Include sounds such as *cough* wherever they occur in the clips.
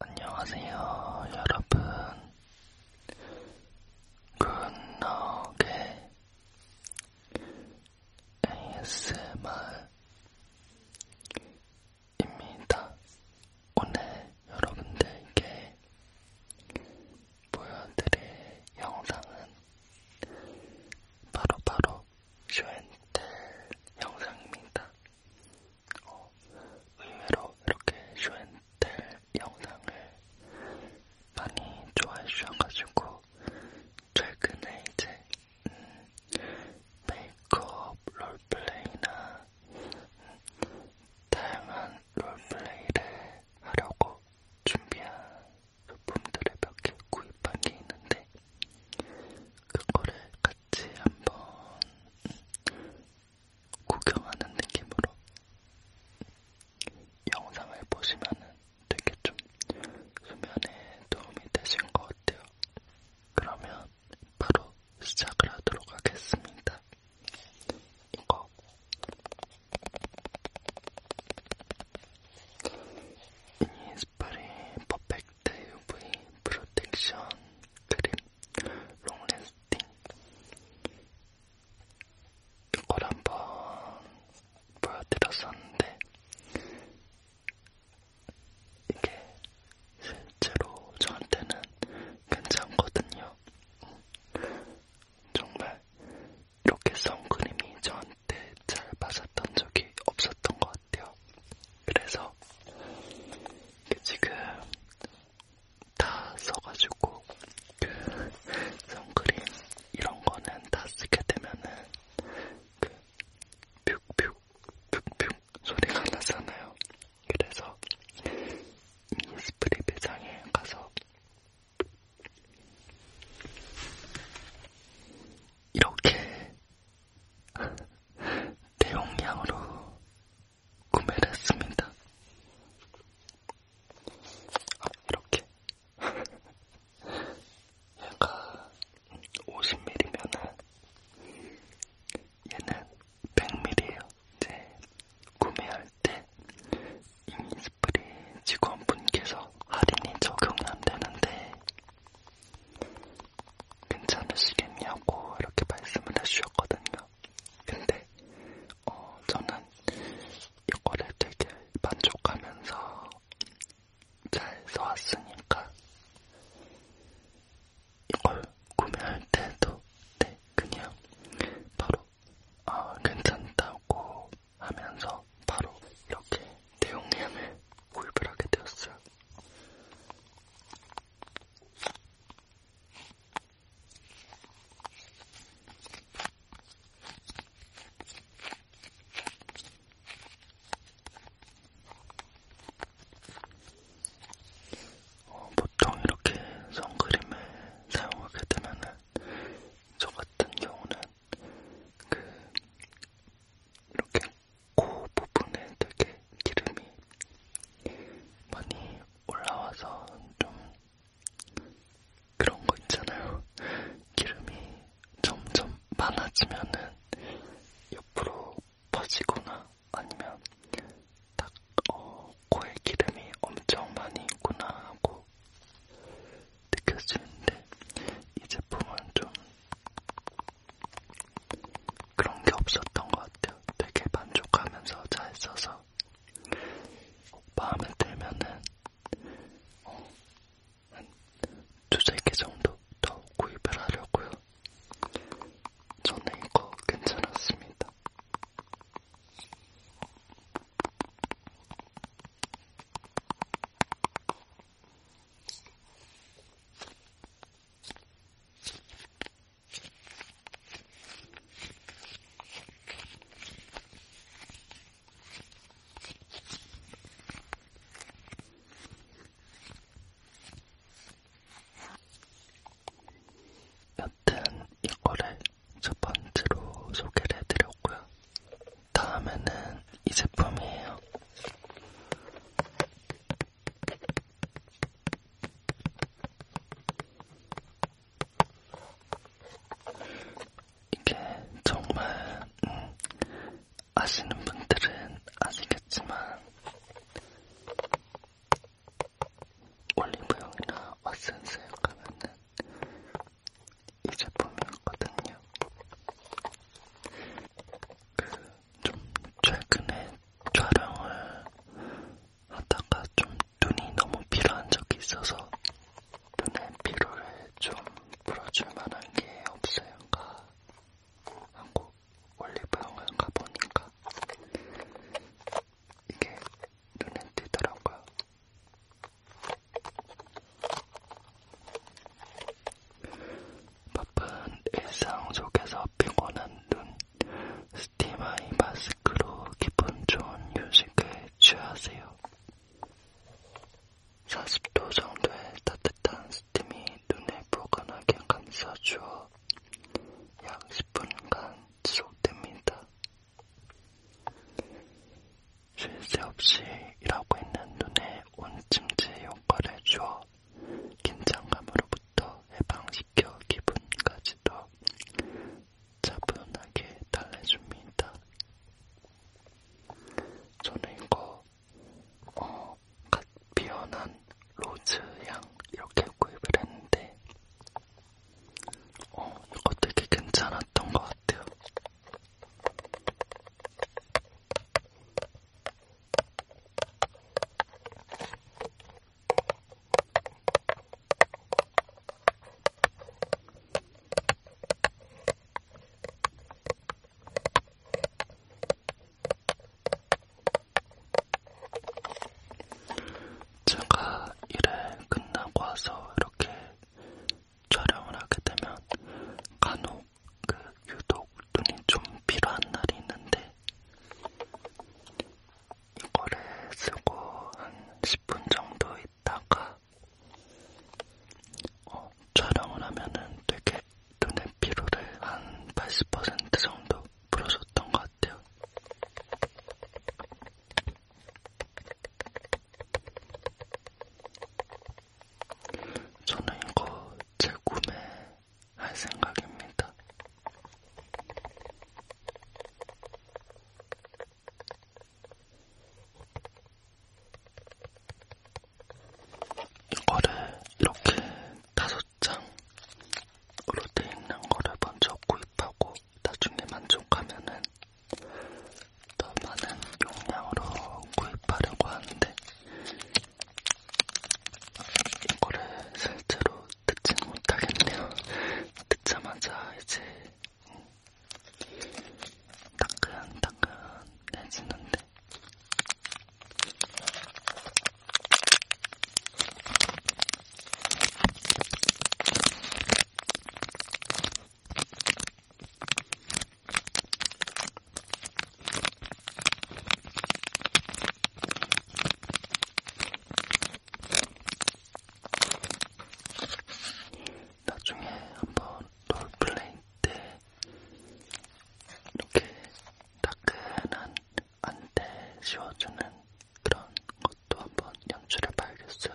안녕하세요, 여러분. 굿나게 ASMR입니다. 오늘 여러분들께 보여드릴 영상은 바로바로 쇼앤텔 영상입니다. 의외로 이렇게 쇼앤텔 영상을 많이 좋아해 주셔가지고 최근에 이제 음, 메이크업 롤플레이나 음, 다양한 롤플레이를 하려고 준비한 소품들을 몇 개 구입한 게 있는데 그거를 같이 한번 구경하는 느낌으로 영상을 보시면은 되게 좀 수면에 도움이 되신 것 같아요. 그러면 바로 시작을 하도록 하겠습니다. 이거 이니스프리 퍼펙트 UV 프로텍션 크림 롱래스팅 이걸 한번 보여드렸었는데 이게 실제로 저한테는 괜찮거든요. 정말 이렇게 선크림이 저한테 잘 맞았던 적이 없었던 것 같아요. 그래서 지금 다 써가지고 그 선크림 이런 거는 다 쓰게 되면은 그 푹푹 푹푹 소리가 나잖아요. 그래서 스프레이 매장에 가서 이렇게 대용량으로 구매를 했습니다. 아, 이렇게. *laughs* 얘가 50mm면은 얘는 100mm예요. 이제 구매할 때 이니스프리 직원분께서 할인이 적용이 안 되는데 괜찮으시겠냐고 이렇게 말씀을 해주셨거든요. 근데 어, 저는 이거를 되게 만족하면서 잘 써왔으니까 이걸 구매할 때도 네, 그냥 바로 아, 괜찮다고 하면서 바로 이렇게 내용량을 구입을 하게 되었어요. 어, 보통 이렇게 선크림을 사용하게 되면은 저 같은 경우는 그 이렇게 코 부분에 되게 기름이 많이 올라와서 좀 그런 거 있잖아요. 기름이 점점 많아지면은 옆으로 퍼지거나 아니면 딱 어, 코에 기름이 엄청 많이 있구나 하고 느껴지는데 이 제품은 좀 그런 게 없었던 것 같아요. 되게 만족하면서 잘 써서 마음에 들면은 어, 한 두세 개 정도 더 구입을 하려고요. 저는 이거 괜찮았습니다. 여튼 이거를 첫 번째로 소개를 해드렸고요. 다음에는 이 제품이에요. 이게 정말 음, 아시는 분들은 아시겠지만 올리브영이나 왓슨스에 가면은 이 제품이었거든요. 그좀 최근에 촬영을 하다가 좀 눈이 너무 피로한 적이 있어서 눈의 피로를 좀 풀어줄 만한 게 없을까 그러니까 한국 올리브영을 가보니까 이게 눈에 띄더라고요. 바쁜 일상 속에서 피곤한 눈, 스티마이 마스크로 기분 좋은 휴식을 취하세요. 40도 정도의 따뜻한 스팀이 눈을 포근하게 감싸주어 약 10분간 지속됩니다. 쉴새 없이 일하고 있는 눈에 온찜질 효과를 주어 긴장감으로부터 해방시켜 기분까지도 차분하게 달래줍니다. 저는 이거 어, 갓 피어난 로즈향 이렇게 구입을 했는데 어, 이거 되게 괜찮았던 것 같아요. 제가 일을 끝나고 와서 이렇게 촬영을 하게 되면 간혹 그 유독 눈이 좀 필요한 날이 있는데 이거를 쓰고 한 10분 정도 있다가 어, 촬영을 하면은 되게 눈의 피로를 한 80% 정도 풀어줬던 것 같아요. 저는 이거 재구매할 생각입니다. 이거를 이렇게 다섯 장으로 돼 있는 거를 먼저 구입하고 나중에 만족하면은 더 많은 용량으로 구입하려고 하는데 이거를 실제로 듣진 못하겠네요. 듣자마자 이제 따끈따끈해지는데 나중에 한번 롤플레이 때 이렇게 따끈한 안대 씌워주는 그런 것도 한번 연출해 봐야겠어요.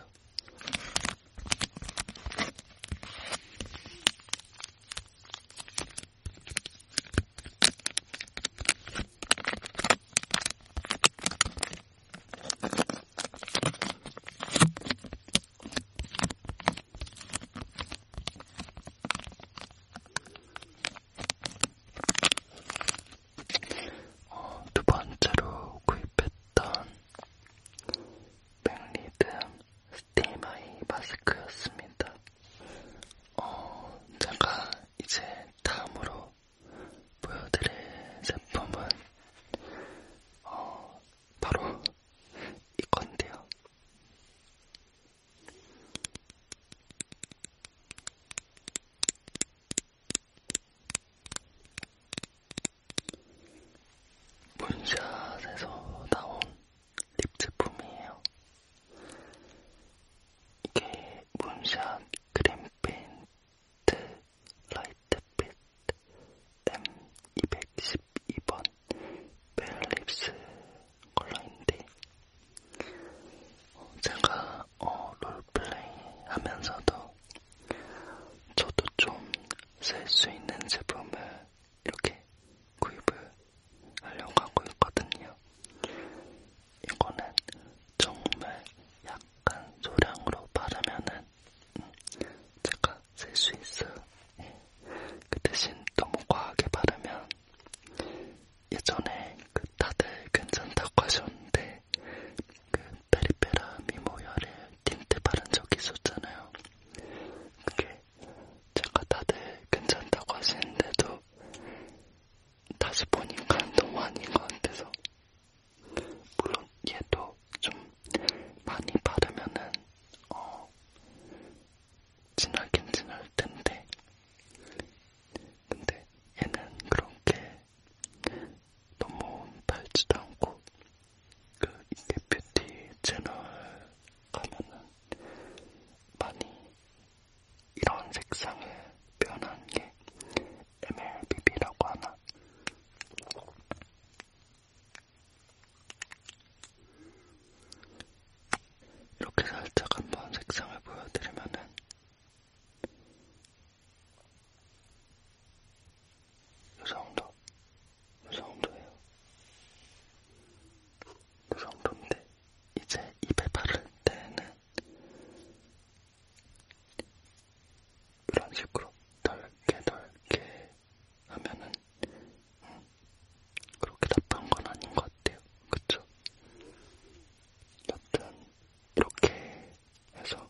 어, 두 번째로 구입했던 백리든 스테이마이 마스크였습니다. 어, 제가 이제 다음으로 보여드릴 제품은 어, 바로 이건데요. 문샷에서 나온 립 제품이에요. 이게 문샷 그린핀트 라이트빛 M212번 벨립스 컬러인데 어, 제가 어, 롤플레이 하면서도 저도 좀 쓸수 있는 제품을 이렇게 구입을 하려고 하고 있거든요. 이거는 정말 약간 소량으로 바르면은 음, 제가 쓸 수 있어요. 예. 그 대신 너무 과하게 바르면 예전에 그 다들 괜찮다고 하셨는데 그 페리페라 미모열에 틴트 바른 적이 있었잖아요. 그게 제가 다들 괜찮다고 하시는데도 다시 보니까 너무 아닌 것 같아서 물론 얘도 좀 많이 바르면은 어 진하긴 진할 텐데 근데 얘는 그렇게 너무 달지도 않고 그 이게 뷰티 채널 가면은 많이 이런 색상을 표현한 게 MLBB라고 하나? 이렇게 살짝 한번 색상을 보여드리면은 이 정도, 이 정도예요. 이 정도인데 이제 입에 바를 때는 이런 식으로 덜게 덜게 하면은 음, 그렇게 나쁜 건 아닌 것 같아요. 그쵸? 여튼 이렇게 해서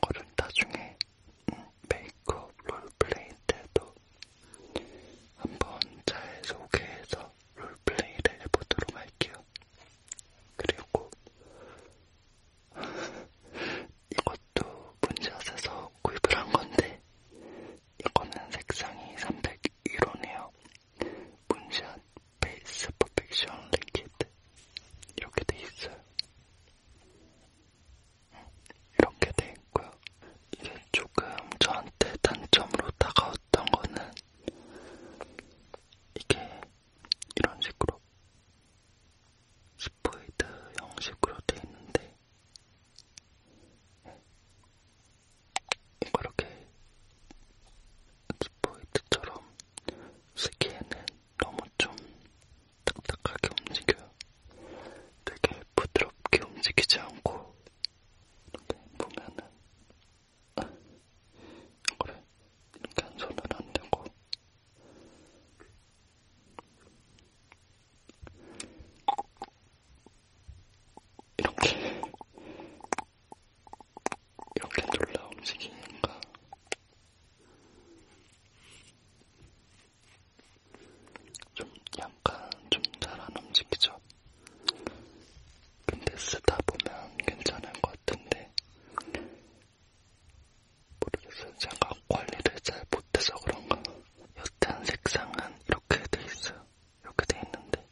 거를 나중에 음, 메이크업 롤플레이 때도 한번 잘 소개해서 롤플레이를 해보도록 할게요. 그리고 *laughs* 이것도 문제앗에서 구입을 한 건데 이거는 색상이 301원이에요. 문제앗 베이스 퍼펙션 리퀴드 이렇게 돼 있어요. 이렇게 돼 있고요. 이게 조금 저한테 단점으로 다가왔던 거는 이게 이런 식으로 스포이드 형식으로 돼 있는데 이렇게 스포이드처럼 스키에는 너무 좀 딱딱하게 움직여요. 되게 부드럽게 움직이지 않고 이렇게 보면은 아, 그래 이렇게 한 손은 안 되고 이렇게 이렇게 졸라 움직이니까 좀 약간 좀잘안 움직이죠. 근데 쓰다 보면 괜찮을 것 같은데 모르겠어요. 제가 관리를 잘 못해서 그런가. 여튼 색상은 이렇게 돼 있어요. 이렇게 돼 있는데